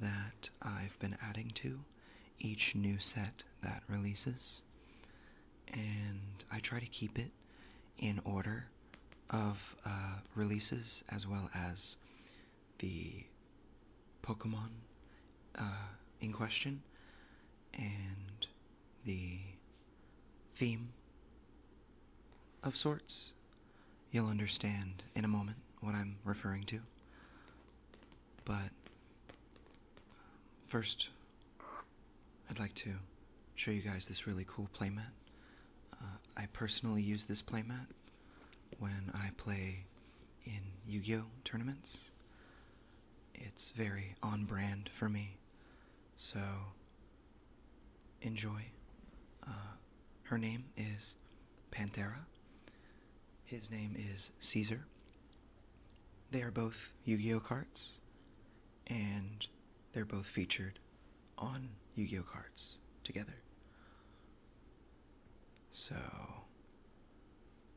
that I've been adding to each new set that releases, and I try to keep it in order of uh, releases as well as the Pokemon uh, in question and the theme of sorts You'll understand in a moment what I'm referring to. But first, I'd like to show you guys this really cool playmat. Uh, I personally use this playmat when I play in Yu Gi Oh! tournaments. It's very on brand for me, so enjoy. Uh, her name is Pantera. His name is Caesar. They are both Yu Gi Oh cards, and they're both featured on Yu Gi Oh cards together. So,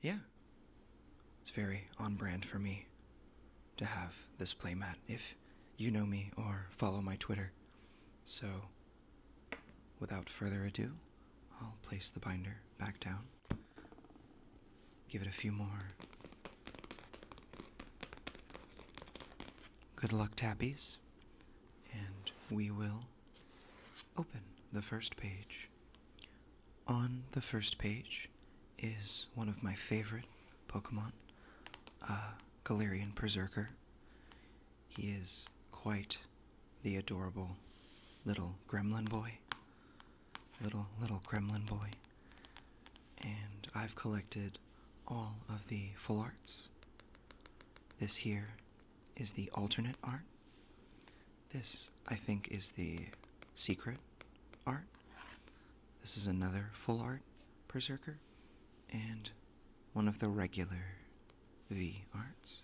yeah, it's very on brand for me to have this playmat if you know me or follow my Twitter. So, Without further ado, I'll place the binder back down. Give it a few more. Good luck, Tappies. And we will open the first page. On the first page is one of my favorite Pokemon, uh, Galarian Berserker. He is quite the adorable little gremlin boy. Little, little gremlin boy. And I've collected all of the full arts. This here is the alternate art. This, I think, is the secret art. This is another full art berserker. And one of the regular V arts.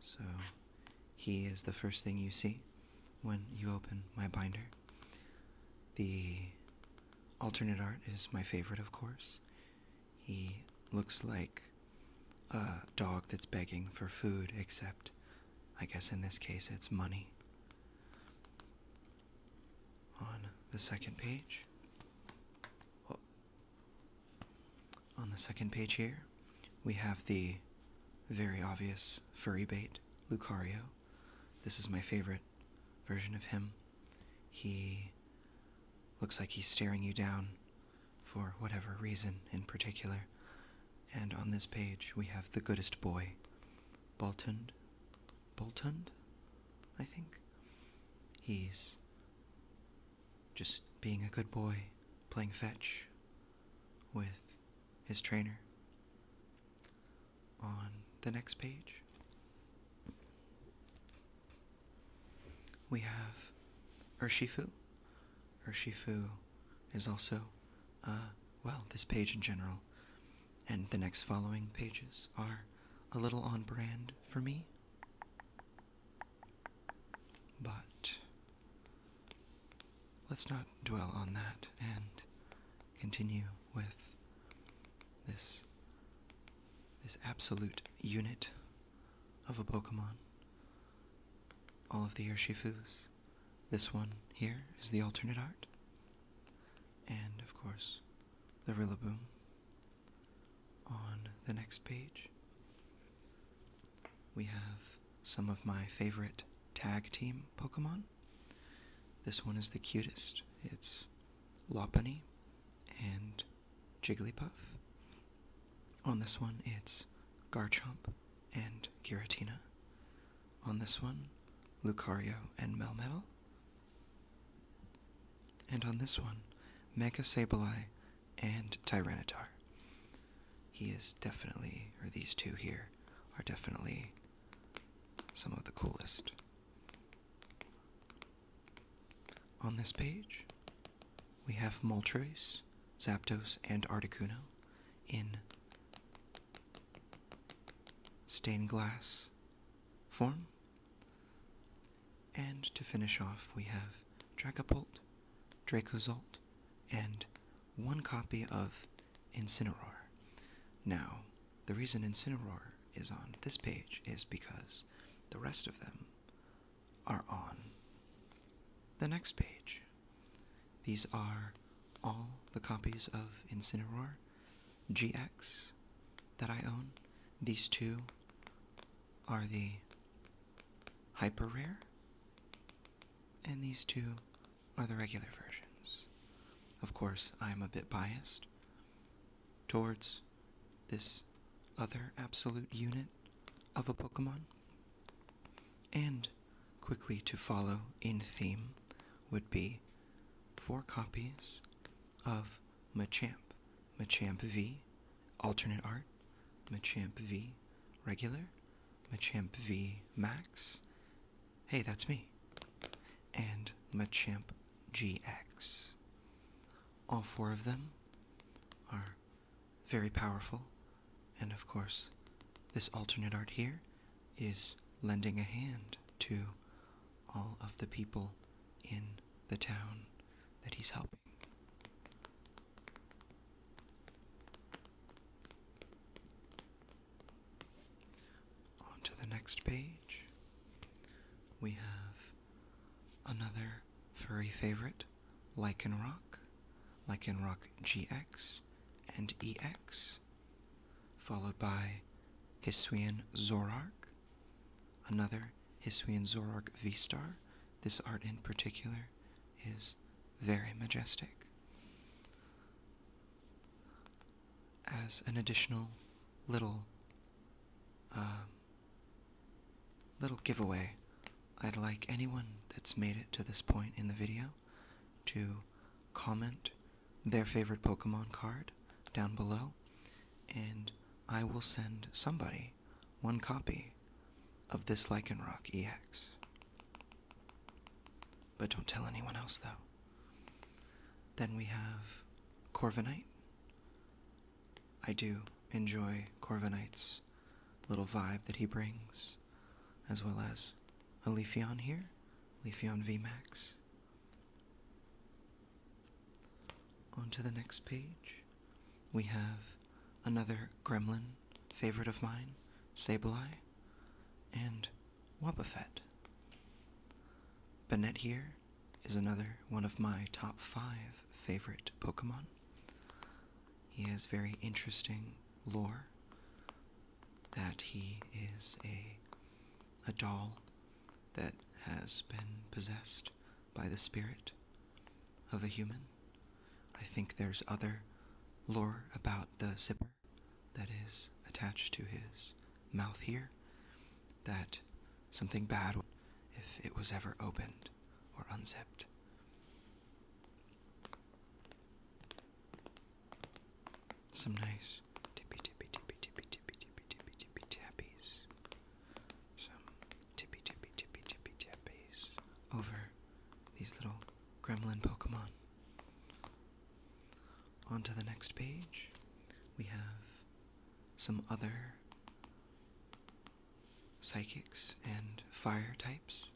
So, he is the first thing you see when you open my binder. The alternate art is my favorite, of course. He looks like a dog that's begging for food, except I guess in this case it's money. On the second page, on the second page here, we have the very obvious furry bait, Lucario. This is my favorite version of him. He looks like he's staring you down for whatever reason in particular. And on this page, we have the goodest boy, Boltund. Boltund? I think. He's just being a good boy, playing fetch with his trainer. On the next page, we have Urshifu. Urshifu is also, uh, well, this page in general, and the next following pages are a little on brand for me. But let's not dwell on that and continue with this this absolute unit of a Pokemon. All of the Urshifus. This one here is the alternate art. And of course, the Rillaboom on the next page, we have some of my favorite tag team Pokemon. This one is the cutest. It's Lopunny and Jigglypuff. On this one, it's Garchomp and Giratina. On this one, Lucario and Melmetal. And on this one, Mega Sableye and Tyranitar. He is definitely, or these two here, are definitely some of the coolest. On this page, we have Moltres, Zapdos, and Articuno in stained glass form. And to finish off, we have Dragapult, Dracozolt, and one copy of Incineror. Now, the reason Incineror is on this page is because the rest of them are on the next page. These are all the copies of Incineror GX that I own. These two are the hyper rare, and these two are the regular versions. Of course, I'm a bit biased towards this other absolute unit of a Pokemon. And quickly to follow in theme would be four copies of Machamp Machamp V, alternate art, Machamp V, regular, Machamp V Max. Hey, that's me. And Machamp GX. All four of them are very powerful, and of course, this alternate art here is lending a hand to all of the people in the town that he's helping. On the next page, we have another furry favorite, Lycanroc, Lycanroc GX and EX, followed by Hisuian Zorark, another Hisuian Zorark V-Star, this art in particular is very majestic. As an additional little um, little giveaway, I'd like anyone that's made it to this point in the video to comment their favorite Pokemon card down below, and I will send somebody one copy of this Lichen Rock EX. But don't tell anyone else, though. Then we have Corviknight. I do enjoy Corviknight's little vibe that he brings, as well as a Leafeon here, Leafeon VMAX. On to the next page. We have another gremlin favorite of mine, Sableye, and Wobbuffet. Banette here is another one of my top five favorite Pokemon. He has very interesting lore that he is a a doll that has been possessed by the spirit of a human I think there's other lore about the zipper that is attached to his mouth here that something bad if it was ever opened or unzipped. Some nice tippy tippy tippy tippy tippy tippy tippy tippy tappies some tippy tippy tippy tippy tappies over these little gremlin Pokemon. On to the next page, we have some other psychics and fire types.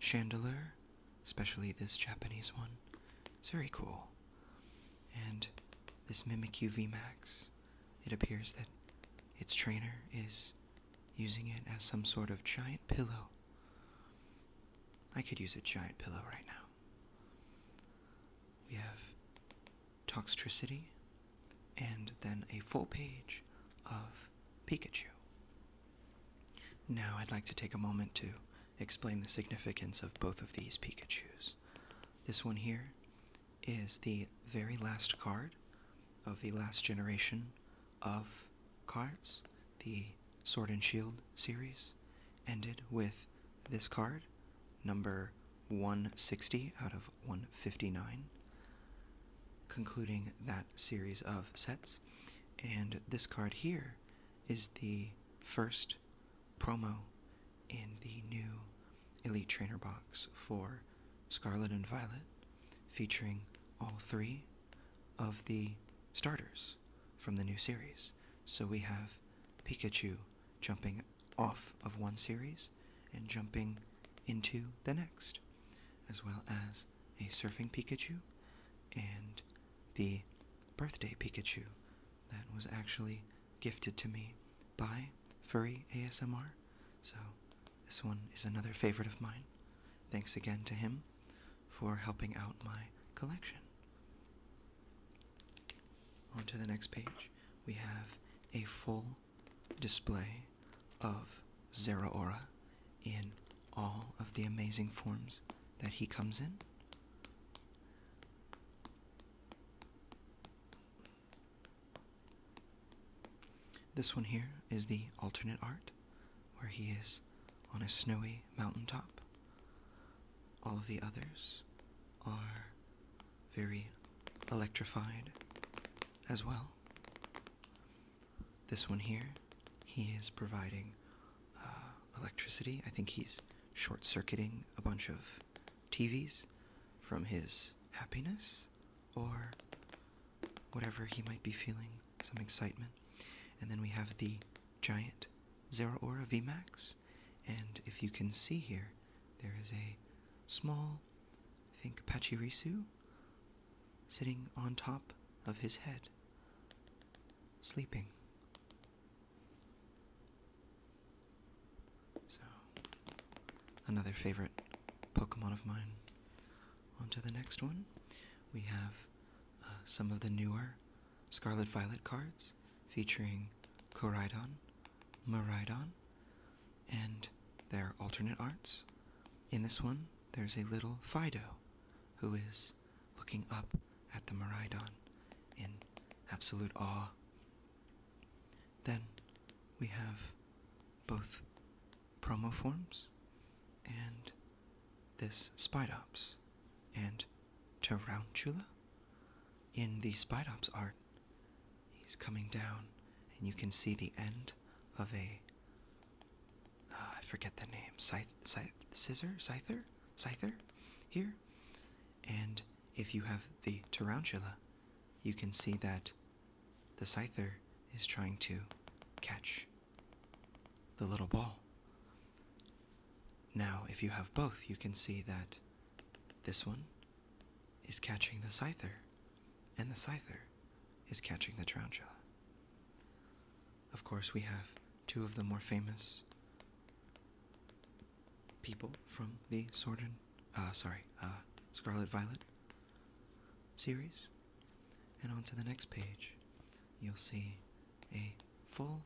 Chandelure, especially this Japanese one, it's very cool. And this Mimic UV Max, it appears that its trainer is using it as some sort of giant pillow. I could use a giant pillow right now. We have toxicity and then a full page of Pikachu. Now I'd like to take a moment to explain the significance of both of these Pikachus. This one here is the very last card of the last generation of cards. The Sword and Shield series ended with this card, number 160 out of 159, concluding that series of sets. And this card here is the first promo in the new Elite Trainer box for Scarlet and Violet featuring all three of the starters from the new series. So we have Pikachu jumping off of one series and jumping into the next, as well as a surfing Pikachu and the birthday Pikachu that was actually gifted to me by Furry ASMR. So this one is another favorite of mine. Thanks again to him for helping out my collection. On to the next page, we have a full display of Zeraora in all of the amazing forms that he comes in. This one here is the alternate art, where he is on a snowy mountaintop. All of the others are very electrified as well. This one here, he is providing uh, electricity. I think he's short circuiting a bunch of TVs from his happiness or whatever he might be feeling, some excitement. And then we have the giant Zeraora VMAX. And if you can see here, there is a small, I think, Pachirisu sitting on top of his head, sleeping. So, another favorite Pokemon of mine. On to the next one. We have uh, some of the newer Scarlet Violet cards featuring Koridon, Maridon, and their alternate arts. In this one, there's a little Fido who is looking up at the Maridon in absolute awe. Then we have both promo forms and this Spidops and Tarantula. In the Spidops art, he's coming down, and you can see the end of a. Uh, forget the name. Scythe, scythe, scissor? Scyther? Scyther? Here. And if you have the Tarantula, you can see that the scyther is trying to catch the little ball. Now, if you have both, you can see that this one is catching the scyther, and the scyther is catching the tarantula. Of course, we have two of the more famous people from the Sword and, uh, sorry, uh, Scarlet Violet series. And on to the next page, you'll see a full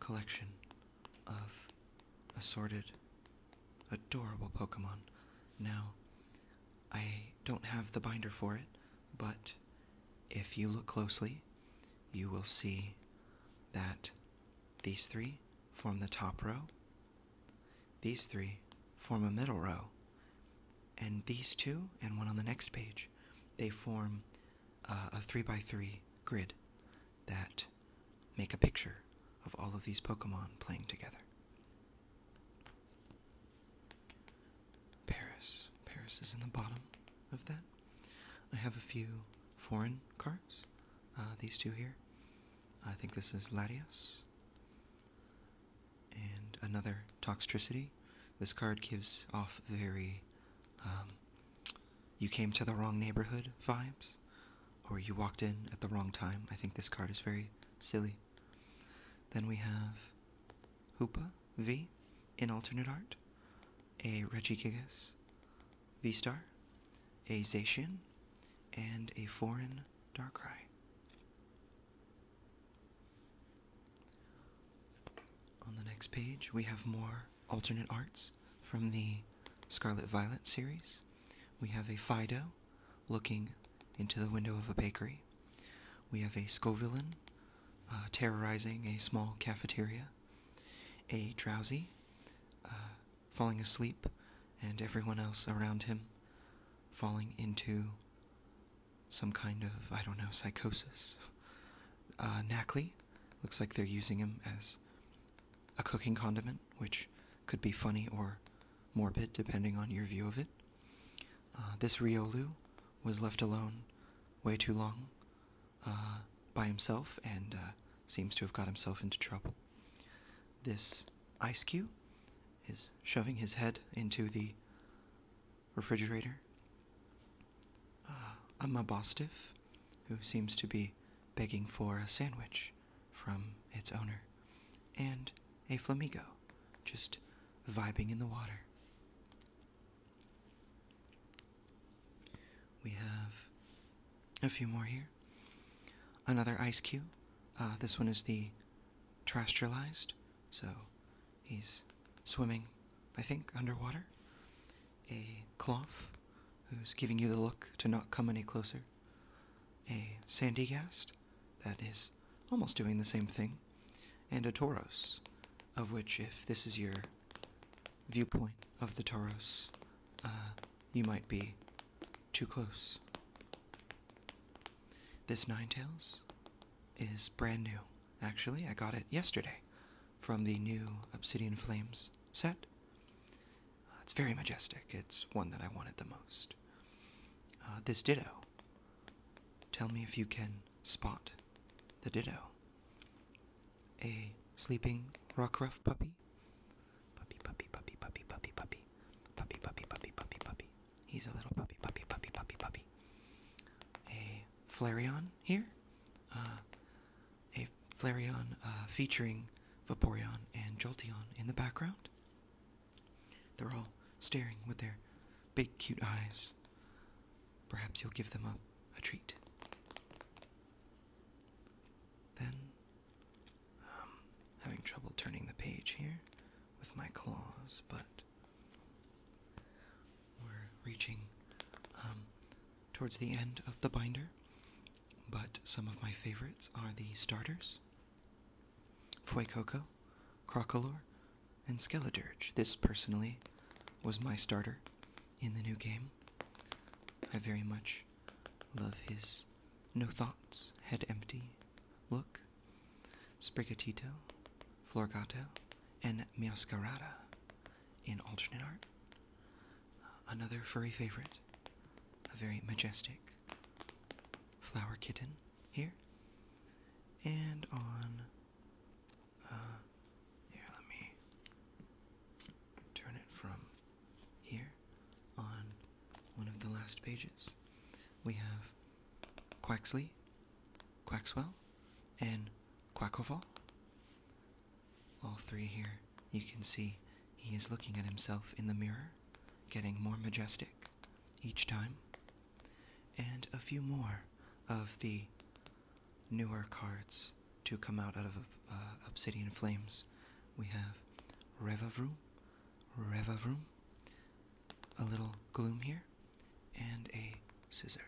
collection of assorted, adorable Pokemon. Now, I don't have the binder for it, but if you look closely, you will see that these three form the top row, these three form a middle row, and these two and one on the next page, they form uh, a three by three grid that make a picture of all of these Pokemon playing together. Paris. Paris is in the bottom of that. I have a few foreign cards. Uh, these two here. I think this is Latios. And another toxicity. This card gives off very um, you came to the wrong neighborhood vibes, or you walked in at the wrong time. I think this card is very silly. Then we have Hoopa V in alternate art, a Reggie Gigas V Star, a Zacian, and a foreign Darkrai. On the next page, we have more alternate arts from the Scarlet Violet series. We have a Fido looking into the window of a bakery. We have a Scovillain uh, terrorizing a small cafeteria. A Drowsy uh, falling asleep, and everyone else around him falling into some kind of, I don't know, psychosis. Uh, looks like they're using him as a cooking condiment, which could be funny or morbid, depending on your view of it. Uh, this Riolu was left alone way too long uh, by himself and uh, seems to have got himself into trouble. This Ice Cube is shoving his head into the refrigerator. Uh, a Amma who seems to be begging for a sandwich from its owner, and a Flamigo, just vibing in the water. We have a few more here. Another ice cube. Uh, this one is the terrestrialized so he's swimming, I think, underwater. A cloth who's giving you the look to not come any closer. A sandy gast, that is almost doing the same thing. And a toros, of which, if this is your viewpoint of the toros, uh, you might be too close. This Ninetales is brand new. Actually, I got it yesterday from the new Obsidian Flames set. Uh, it's very majestic. It's one that I wanted the most. Uh, this Ditto. Tell me if you can spot the Ditto. A sleeping Rockruff puppy. Puppy, puppy, puppy, puppy, puppy, puppy. Puppy, puppy, puppy, puppy, puppy. He's a little puppy, puppy, puppy, puppy, puppy. A Flareon here. Uh, a Flareon uh, featuring Vaporeon and Jolteon in the background. They're all staring with their big, cute eyes. Perhaps you'll give them a, treat. Then, um, having trouble turning the page here with my claws, but we're reaching um, towards the end of the binder, but some of my favorites are the starters Fuecoco, Crocolore, and Skeledirge. This personally was my starter in the new game. I very much love his no thoughts, head empty look. Sprigatito, Floricato, and Mioscarada in alternate art. Another furry favorite, a very majestic flower kitten here. And on, uh, here, let me turn it from here on one of the last pages. We have Quaxley, Quaxwell, and Quackoval. All three here, you can see he is looking at himself in the mirror, getting more majestic each time. And a few more of the newer cards to come out, out of uh, Obsidian Flames. We have Revavroom, Revavroom, a little gloom here, and a scissor.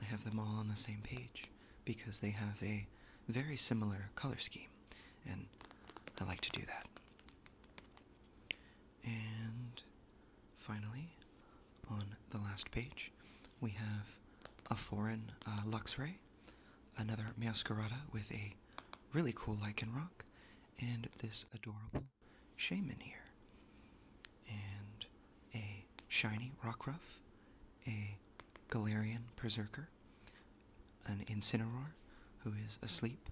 I have them all on the same page because they have a very similar color scheme, and I like to do that. And finally, on the last page, we have a foreign uh, Luxray, another Meowscarada with a really cool lichen rock, and this adorable shaman here. And a shiny Rockruff, a Galarian Berserker, an Incineroar, who is asleep,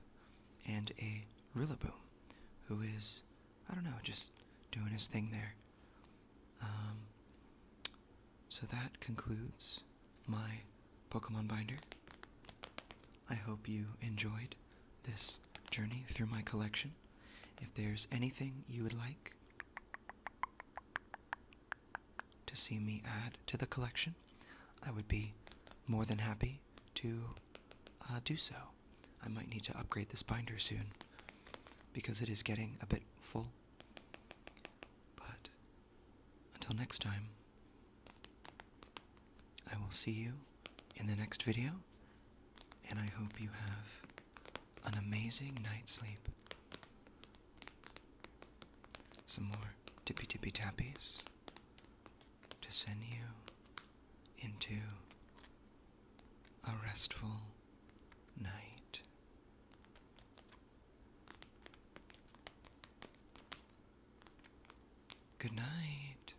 and a Rillaboom, who is, I don't know, just doing his thing there. Um, so that concludes my Pokemon binder. I hope you enjoyed this journey through my collection. If there's anything you would like to see me add to the collection, I would be more than happy to uh, do so. I might need to upgrade this binder soon because it is getting a bit full. But until next time, I will see you in the next video, and I hope you have an amazing night's sleep. Some more tippy tippy tappies to send you into a restful night. Good night.